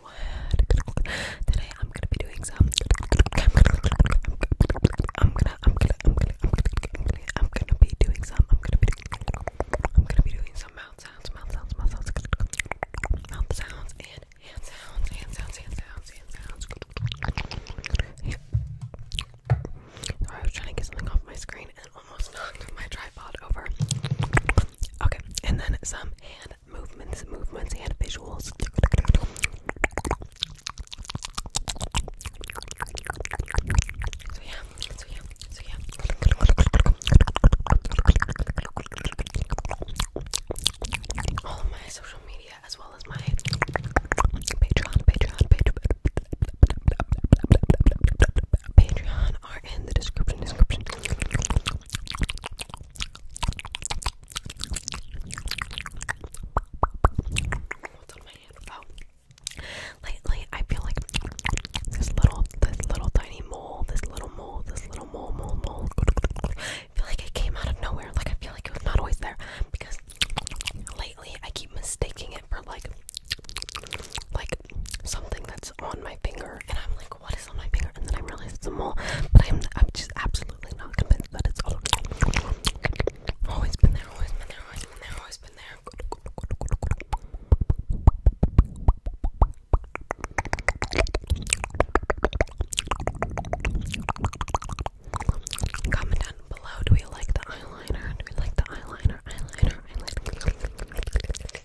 what? Today I'm gonna be doing some. I'm gonna, I'm gonna, I'm gonna, I'm gonna, I'm gonna be doing some. I'm gonna be, I'm gonna be doing some mouth sounds, mouth sounds, mouth sounds, mouth sounds, and hand sounds, hand sounds, hand sounds, hand sounds. Yeah. Sorry, I was trying to get something off my screen and almost knocked my tripod over. Okay, and then some hand movements, movements, and visuals. So yeah, so yeah, so yeah. All of my social media, as well as my Patreon, Patreon, Patreon, are in the description. Lately I feel like this little this little tiny mole, this little mole, this little mole, mole, mole. I feel like it came out of nowhere. Like I feel like it was not always there because lately I keep mistaking it for like like something that's on my finger and I'm like what is on my finger? And then I realized it's a mole. But I'm, I'm just absolutely not convinced that it's all. Always been there, always been there, always been there, always been there. Comment down below. Do we like the eyeliner? Do we like the eyeliner? Eyeliner, eyeliner.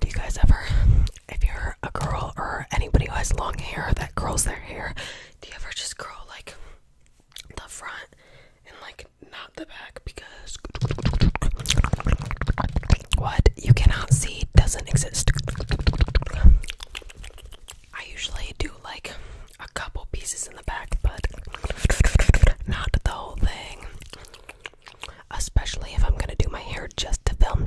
Do you guys ever, if you're a girl or anybody who has long hair that curls their hair, do you ever just curl like the front and like not the back because what you cannot see doesn't exist? I usually do like a couple pieces in the back, but not the whole thing. Especially if I'm gonna do my hair just to film.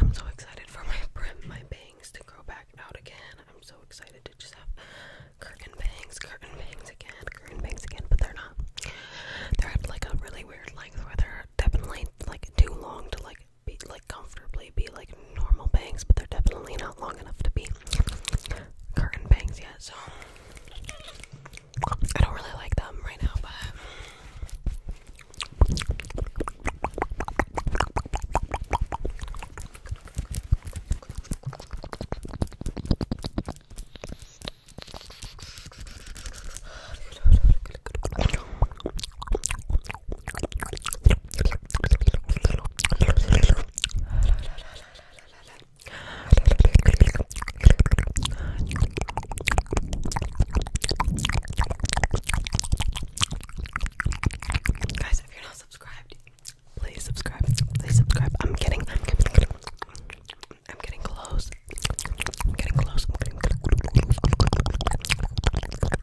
I'm so excited for my brim, my bangs to grow back out again. I'm so excited to just have curtain bangs, curtain bangs again, curtain bangs again, but they're not. They're at like a really weird length where they're definitely like too long to like be like comfortably be like normal bangs, but they're definitely not long enough to be curtain bangs yet, so I don't really like them right now, but Guys, if you're not subscribed, please subscribe. Please subscribe. I'm getting, I'm getting, I'm getting close. I'm getting close. I'm getting close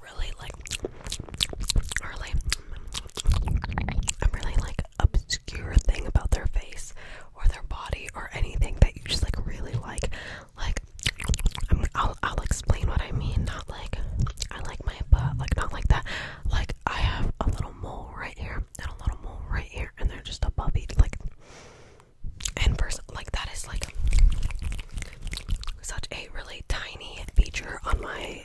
really like really a really like obscure thing about their face or their body or anything that you just like really like like i will I'll explain what I mean not like I like my butt like not like that like I have a little mole right here and a little mole right here and they're just a each like and first like that is like such a really tiny feature on my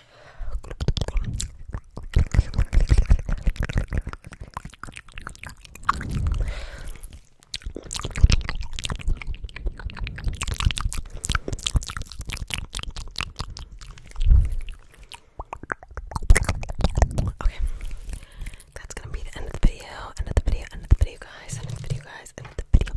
Okay, that's gonna be the end of the video. End of the video. End of the video, guys. End of the video, guys. End of the video.